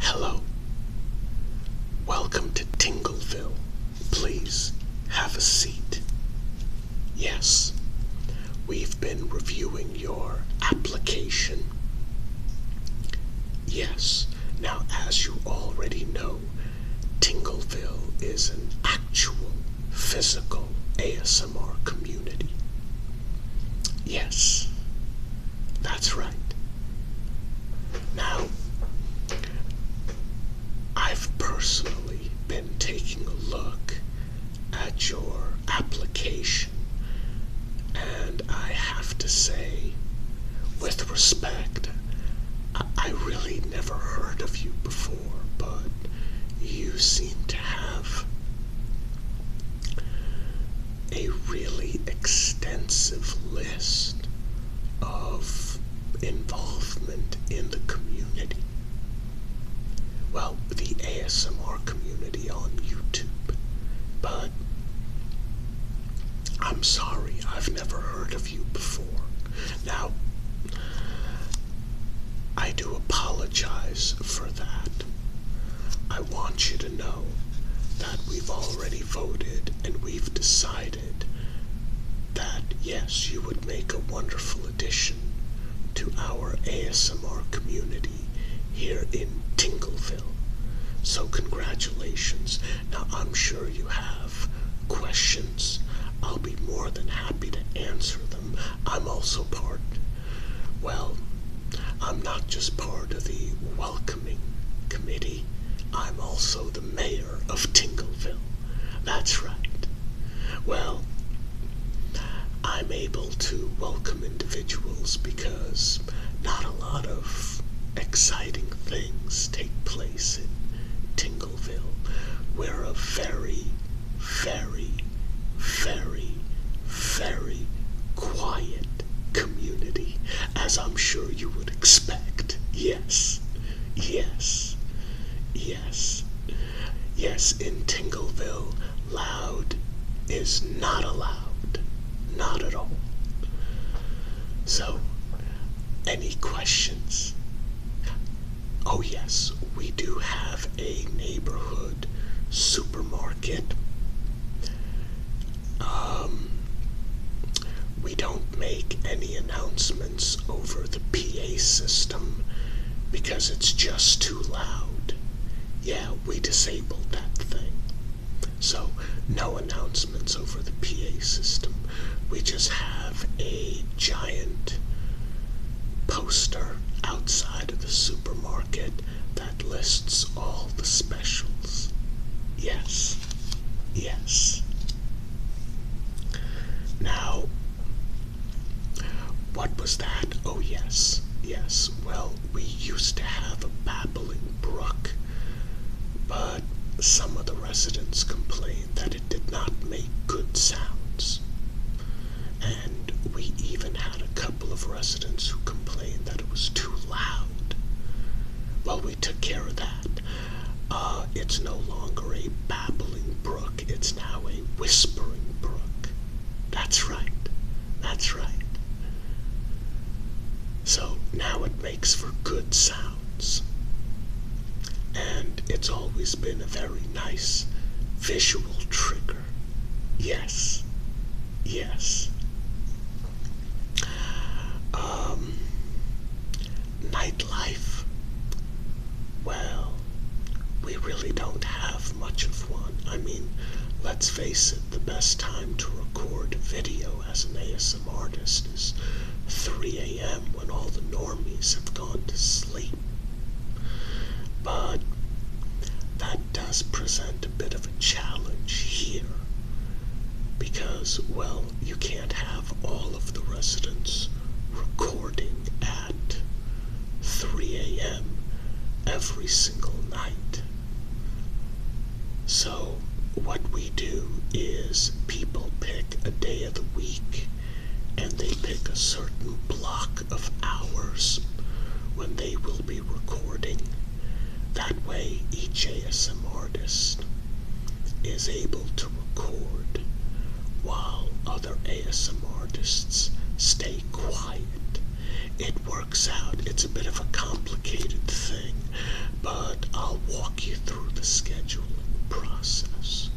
Hello. Welcome to Tingleville. Please have a seat. Yes, we've been reviewing your application. Yes, now as you already know, Tingleville is an actual physical ASMR community. Yes, that's right. Now, I've personally been taking a look at your application, and I have to say, with respect, I, really never heard of you before, but you seem to have a really extensive list of involvement in the community. Well, the ASMR community on YouTube. But I'm sorry, I've never heard of you before. Now, I do apologize for that. I want you to know that we've already voted and we've decided that yes, you would make a wonderful addition to our ASMR community here in Tingleville. So, congratulations. Now, I'm sure you have questions. I'll be more than happy to answer them. I'm also part well, I'm not just part of the welcoming committee, I'm also the mayor of Tingleville. That's right. Well, I'm able to welcome individuals because not a lot of exciting things take place in Tingleville. We're a very, very very, very quiet community, as I'm sure you would expect. Yes, yes, yes, yes, in Tingleville, loud is not allowed, not at all. So, any questions? Oh, yes, we do have a neighborhood supermarket. Um, we don't make any announcements over the PA system because it's just too loud. Yeah, we disabled that thing. So, no announcements over the PA system. We just have a giant poster outside of the supermarket that lists all the specials. Yes, yes. Now, what was that? Oh, yes, yes. Well, we used to have a babbling brook, but some of the residents complained that it did not make good sounds. And we even had a couple of residents who complained that it was too loud. Well, we took care of that. Uh, it's no longer a babbling brook, it's now a whispering brook. That's right, that's right. So now it makes for good sounds. And it's always been a very nice visual trigger Yes. Yes. Um, nightlife. Well, we really don't have much of one. I mean, let's face it, the best time to record video as an ASM artist is 3 a.m. when all the normies have gone to sleep. But that does present a bit of a challenge here because, well, you can't have all of the residents recording at 3 a.m. every single night. So, what we do is people pick a day of the week and they pick a certain block of hours when they will be recording. That way, each ASM artist is able to record while other ASM artists stay quiet. It works out. It's a bit of a complicated thing, but I'll walk you through the scheduling process.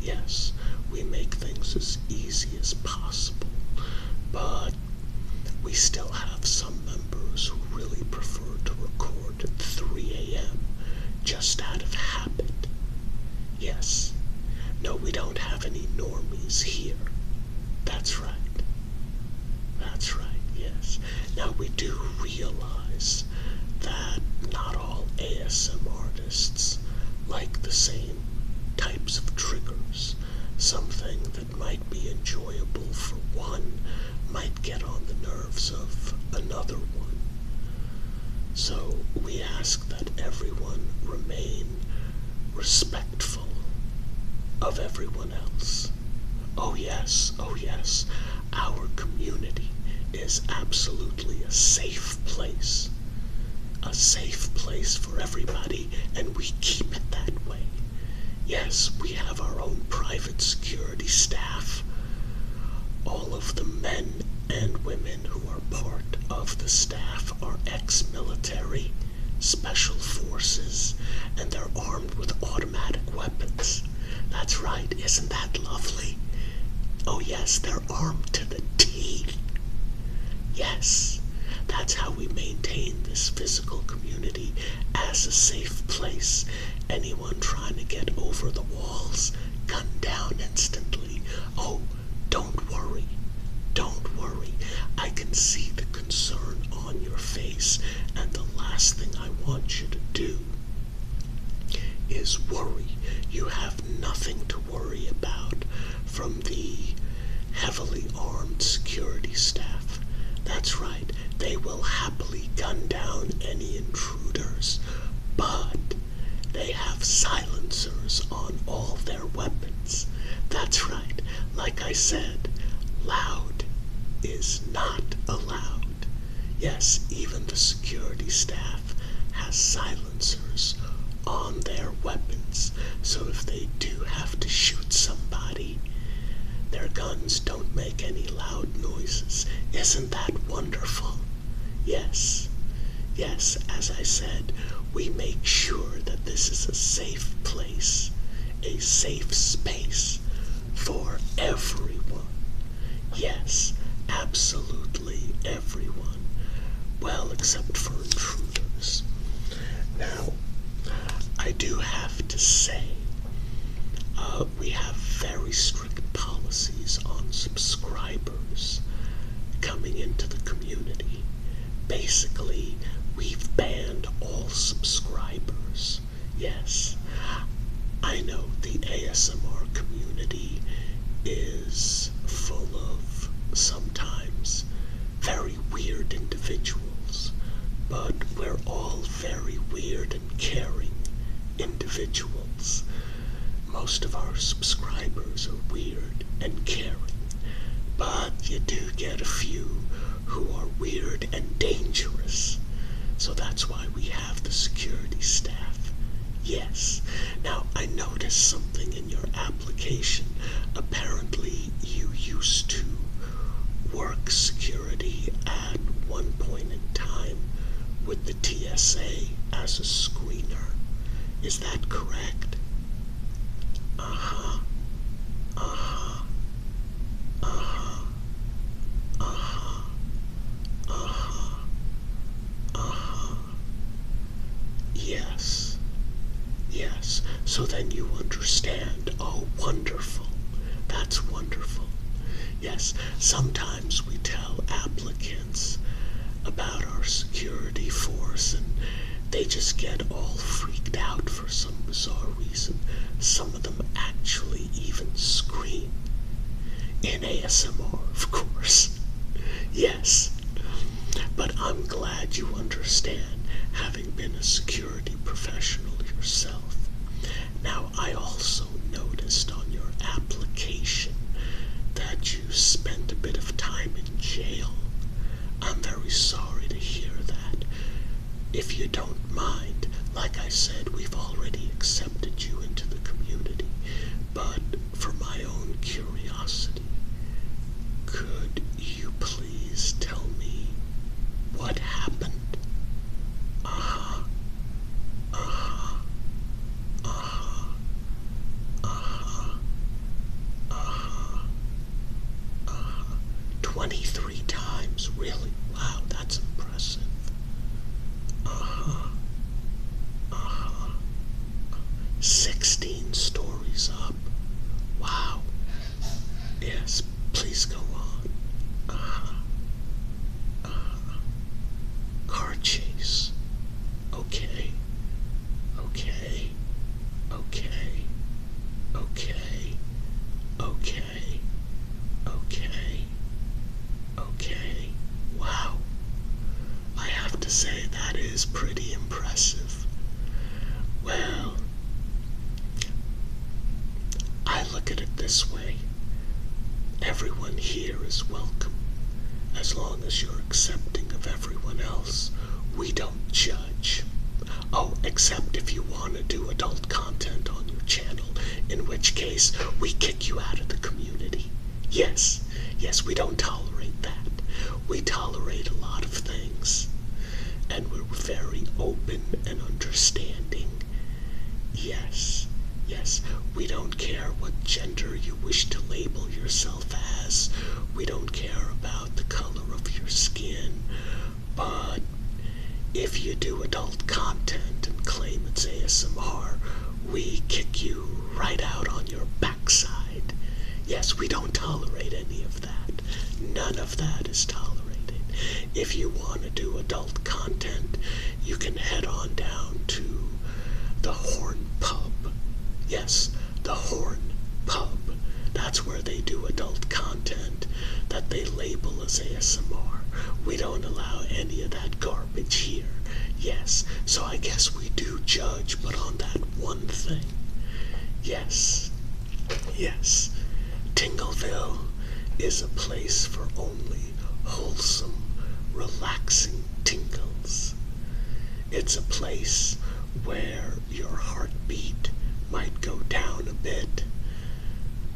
Yes, we make things as easy as possible, but we still have some members who really prefer to record at 3 a.m. just out of habit. Yes, no, we don't have any normies here. That's right. That's right, yes. Now we do realize that not all ASM artists like the same types of triggers something that might be enjoyable for one might get on the nerves of another one. So we ask that everyone remain respectful of everyone else. Oh, yes, oh, yes, our community is absolutely a safe place a safe place for everybody, and we keep it that way. Yes, we have our own private security staff. All of the men and women who are part of the staff are ex military, special forces, and they're armed with automatic weapons. That's right, isn't that lovely? Oh, yes, they're armed to the teeth. Yes, that's how we maintain this physical community as a safe place. Anyone trying to get over the walls, gunned down instantly. Oh, don't worry. Don't worry. I can see the concern on your face, and the last thing I want you to do is worry. You have nothing to worry about from the heavily armed security staff. That's right, they will happily gun down any intruders, but they have silencers on all their weapons. That's right, like I said, loud is not allowed. Yes, even the security staff has silencers on their weapons so if they do have to shoot somebody, their guns don't make any loud noises. Isn't that wonderful? Yes, yes, as I said, we make sure that this is a safe place, a safe space for everyone. Yes, absolutely everyone. Well, except for intruders. Now, I do have to say, uh, we have very strict policies on subscribers coming into the community. Basically, we've banned all subscribers. Yes, I know the ASMR community is full of sometimes very weird individuals, but we're all very weird and caring individuals. Most of our subscribers are weird and caring, but you do get a few who are weird and dangerous. So that's why we have the security staff. Yes. Now I noticed something in your app Apparently, you used to work security at one point in time with the TSA as a screener. Is that correct? Uh huh. Uh huh. Uh huh. Uh-huh. Uh-huh. Yes. Yes, so then you understand. Oh, wonderful. That's wonderful. Yes, sometimes we tell applicants about our security force and they just get all freaked out for some bizarre reason. Some of them actually even scream. In ASMR, of course. Yes. But I'm glad you understand been a security professional yourself. Now, I also noticed on your application that you spent a bit of time in jail. I'm very sorry to hear that. If you don't mind, like I said, we've already accepted you into the community, but for my own curiosity, could you please tell me what happened? Aha, aha, aha, aha, aha, aha. 23 times, really? Wow, that's impressive. Aha, aha. 16 stories up. Wow, Yes, please go on. Uh huh. Uh-huh. Car chase. Okay. Okay. Okay. Okay. Okay. Okay. Wow. I have to say that is pretty impressive. Well, I look at it this way everyone here is welcome as long as you're accepting of everyone else. We don't judge. Oh, except if you want to do adult content on your channel, in which case we kick you out of the community. Yes, yes, we don't tolerate that. We tolerate a lot of things and we're very open and understanding. Yes, yes, we don't care what gender you wish to label yourself as, we don't care about the color of your skin, but if you do adult content and claim it's ASMR, we kick you right out on your backside. Yes, we don't tolerate any of None of that is tolerated. If you want to do adult content, you can head on down to the Horn Pub. Yes, the Horn Pub. That's where they do adult content that they label as ASMR. We don't allow any of that garbage here. Yes, so I guess we do judge, but on that one thing. Yes, Yes, Tingleville is a place for only wholesome, relaxing tingles. It's a place where your heartbeat might go down a bit,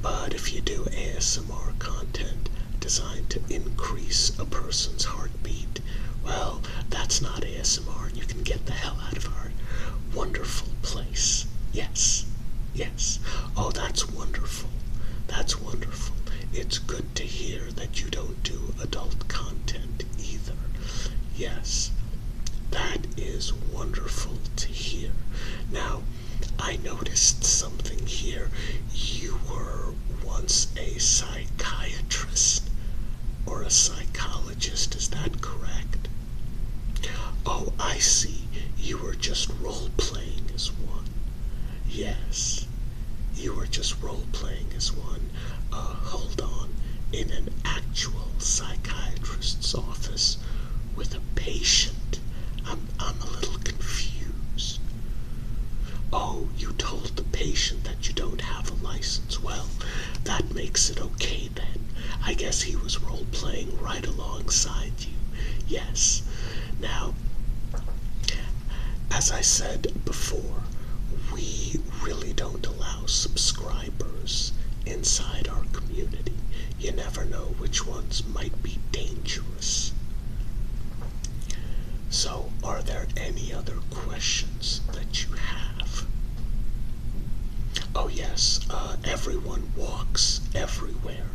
but if you do ASMR content designed to increase a person's heartbeat, well, that's not ASMR. and You can get the hell out of our wonderful place. Yes, yes. Oh, that's wonderful. That's wonderful. It's good to hear that you don't do adult content either. Yes, that is wonderful to hear. Now, I noticed something here. You were once a psychiatrist or a psychologist psychologist, is that correct? Oh, I see. You were just role playing as one. Yes. You were just role playing as one. Uh, hold on. In an actual psychiatrist's office with a patient. I'm, I'm a little confused. Oh, you told the patient that you don't have a license. Well, that makes it okay I guess he was role playing right alongside you. Yes. Now, as I said before, we really don't allow subscribers inside our community. You never know which ones might be dangerous. So, are there any other questions that you have? Oh, yes, uh, everyone walks everywhere.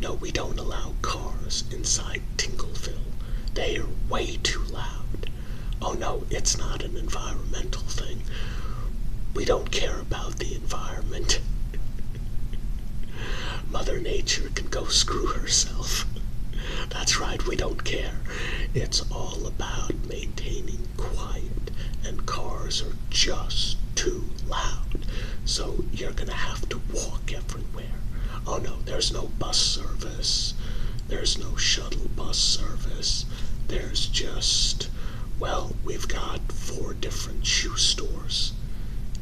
No, we don't allow cars inside Tingleville. They are way too loud. Oh, no, it's not an environmental thing. We don't care about the environment. Mother Nature can go screw herself. That's right, we don't care. It's all about maintaining quiet, and cars are just too loud. So you're gonna have to walk everywhere. Oh no, there's no bus service. There's no shuttle bus service. There's just, well, we've got four different shoe stores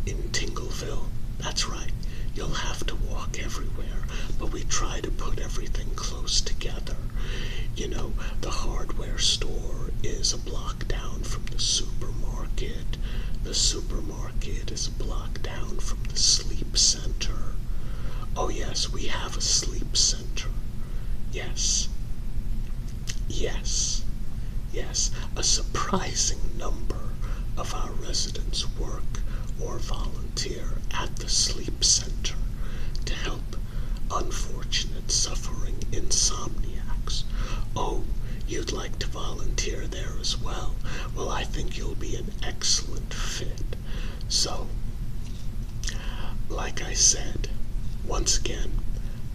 in Tingleville. That's right. You'll have to walk everywhere, but we try to put everything close together. You know, the hardware store is a block down from the supermarket. The supermarket is a block down from the sleep center. Oh, yes, we have a sleep center. Yes. Yes. Yes. A surprising number of our residents work or volunteer at the sleep center to help unfortunate, suffering insomniacs. Oh, you'd like to volunteer there as well. Well, I think you'll be an excellent fit. So, like I said, once again,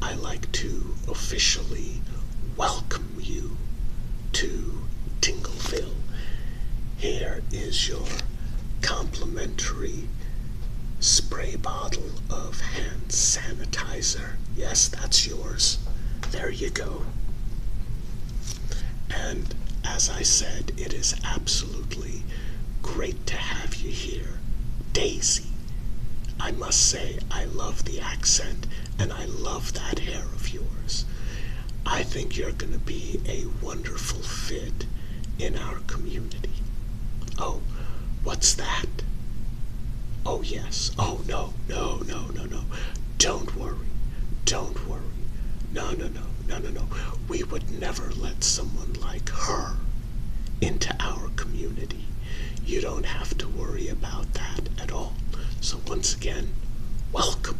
I like to officially welcome you to Tingleville. Here is your complimentary spray bottle of hand sanitizer. Yes, that's yours. There you go. And as I said, it is absolutely great to have you here. Daisy, I must say, I love the accent and I love that hair of yours. I think you're going to be a wonderful fit it in our community. Oh, what's that? Oh, yes. Oh, no, no, no, no, no. Don't worry. Don't worry. No, no, no, no, no, no. We would never let someone like her into our community. You don't have to worry about that at all. So, once again, welcome.